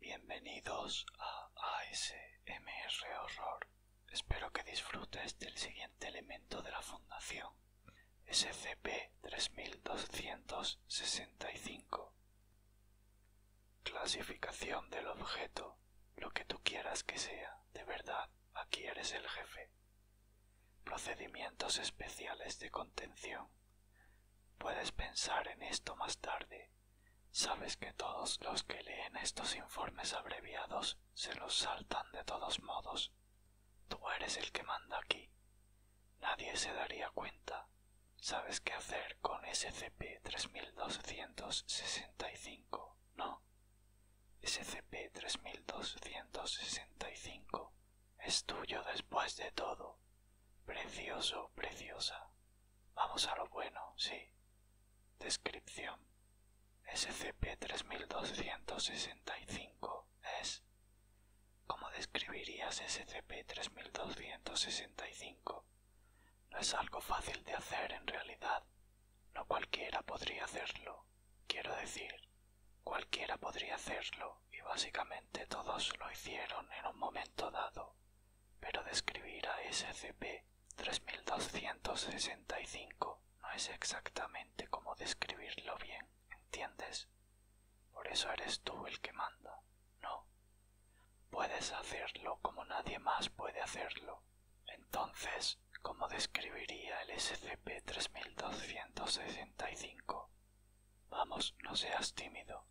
Bienvenidos a ASMR Horror. Espero que disfrutes del siguiente elemento de la Fundación, SCP-3265. Clasificación del objeto, lo que tú quieras que sea, de verdad Aquí eres el jefe. Procedimientos especiales de contención. Puedes pensar en esto más tarde. Sabes que todos los que leen estos informes abreviados se los saltan de todos modos. Tú eres el que manda aquí. Nadie se daría cuenta. Sabes qué hacer con SCP-3265, ¿no? SCP-3265 es tuyo después de todo. Precioso, preciosa. Vamos a lo bueno, sí. Descripción. SCP-3265 es... ¿Cómo describirías SCP-3265? No es algo fácil de hacer en realidad. No cualquiera podría hacerlo. Quiero decir, cualquiera podría hacerlo y básicamente todos lo hicieron en un momento dado. Pero describir a SCP-3265 no es exactamente como describirlo bien, ¿entiendes? Por eso eres tú el que manda. No. Puedes hacerlo como nadie más puede hacerlo. Entonces, ¿cómo describiría el SCP-3265? Vamos, no seas tímido.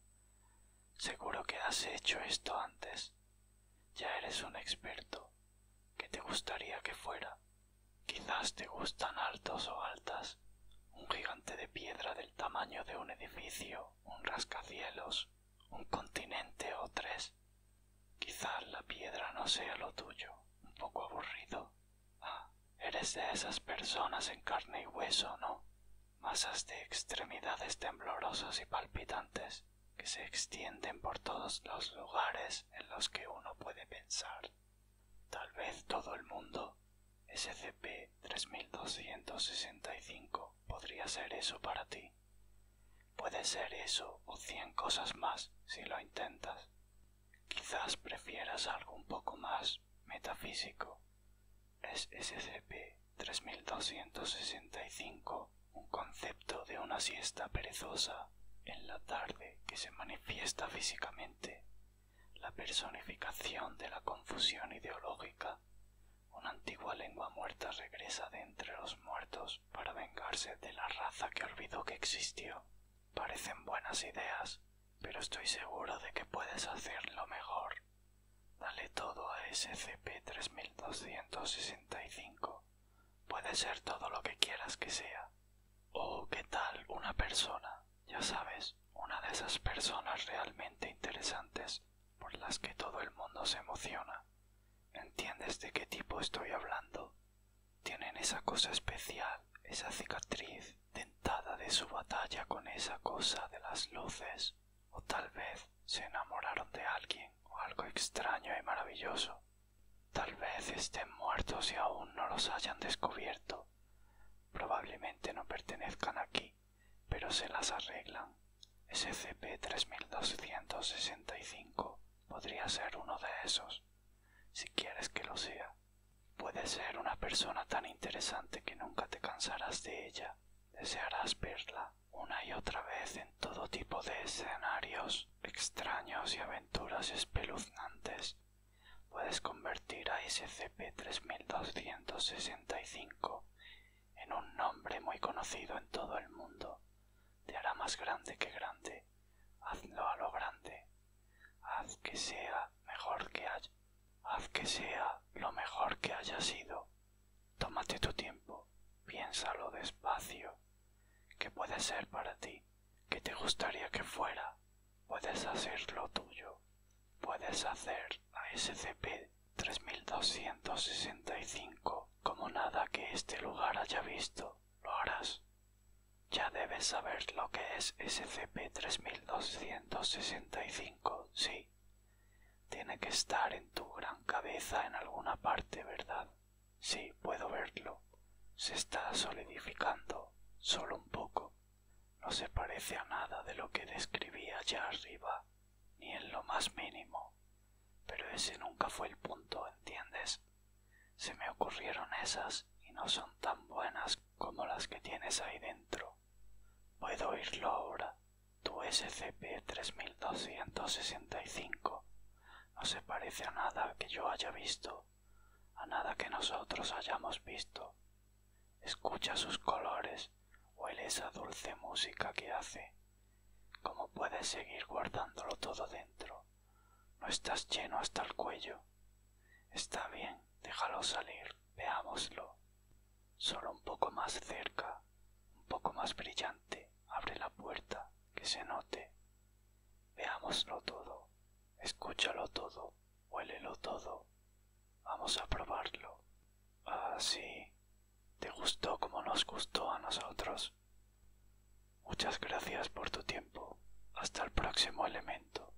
Seguro que has hecho esto antes. Ya eres un experto. ¿Qué te gustaría que fuera? Quizás te gustan altos o altas. Un gigante de piedra del tamaño de un edificio un rascacielos, un continente o tres. quizá la piedra no sea lo tuyo, un poco aburrido. Ah, eres de esas personas en carne y hueso, ¿no? Masas de extremidades temblorosas y palpitantes que se extienden por todos los lugares en los que uno puede pensar. Tal vez todo el mundo. SCP-3265 podría ser eso para ti. Puede ser eso o cien cosas más si lo intentas. Quizás prefieras algo un poco más metafísico. Es SCP-3265 un concepto de una siesta perezosa en la tarde que se manifiesta físicamente la personificación de la confusión ideológica, una antigua lengua muerta regresa de entre los muertos para vengarse de la raza que olvidó que existió. Parecen buenas ideas, pero estoy seguro de que puedes hacerlo mejor. Dale todo a SCP-3265. Puede ser todo lo que quieras que sea. Oh qué tal una persona, ya sabes, una de esas personas realmente interesantes por las que todo el mundo se emociona. ¿Entiendes de qué tipo estoy hablando? Tienen esa cosa especial, esa cicatriz dentada de su batalla con esa cosa de las luces, o tal vez se enamoraron de alguien o algo extraño y maravilloso, Tal vez estén muertos y aún no los hayan descubierto. Probablemente no pertenezcan aquí, pero se las arreglan. SCP-3265 podría ser uno de esos, si quieres que lo sea. Puede ser una persona tan interesante que nunca te cansarás de ella. Desearás verla una y otra vez en todo tipo de escenarios extraños y aventuras espeluznantes, puedes convertir a SCP-3265 en un nombre muy conocido en todo el mundo. Te hará más grande que grande. Hazlo a lo grande. Haz que sea mejor que haya. Haz que sea lo mejor que haya sido. Tómate tu tiempo, piénsalo despacio. ¿Qué puede ser para ti? Que te gustaría que fuera? Puedes hacer lo tuyo. Puedes hacer a SCP-3265 como nada que este lugar haya visto. Lo harás. Ya debes saber lo que es SCP-3265, sí, tiene que estar en tu gran cabeza en alguna parte, ¿verdad? Sí, puedo verlo. Se está solidificando, solo un poco. No se parece a nada de lo que describí allá arriba, ni en lo más mínimo. Pero ese nunca fue el punto, ¿entiendes? Se me ocurrieron esas y no son tan buenas como las que tienes ahí dentro. Puedo oírlo ahora. Tu SCP-3265 no se parece a nada que yo haya visto, a nada que nosotros hayamos visto. Escucha sus colores, huele esa dulce música que hace. ¿Cómo puedes seguir guardándolo todo dentro? No estás lleno hasta el cuello. Está bien, déjalo salir veámoslo. Solo un poco más cerca, un poco más brillante, abre la puerta, que se note. Veámoslo todo, escúchalo todo, huélelo todo. Vamos a probarlo. Ah, sí. Te gustó como nos gustó a nosotros. Muchas gracias por tu tiempo. Hasta el próximo elemento.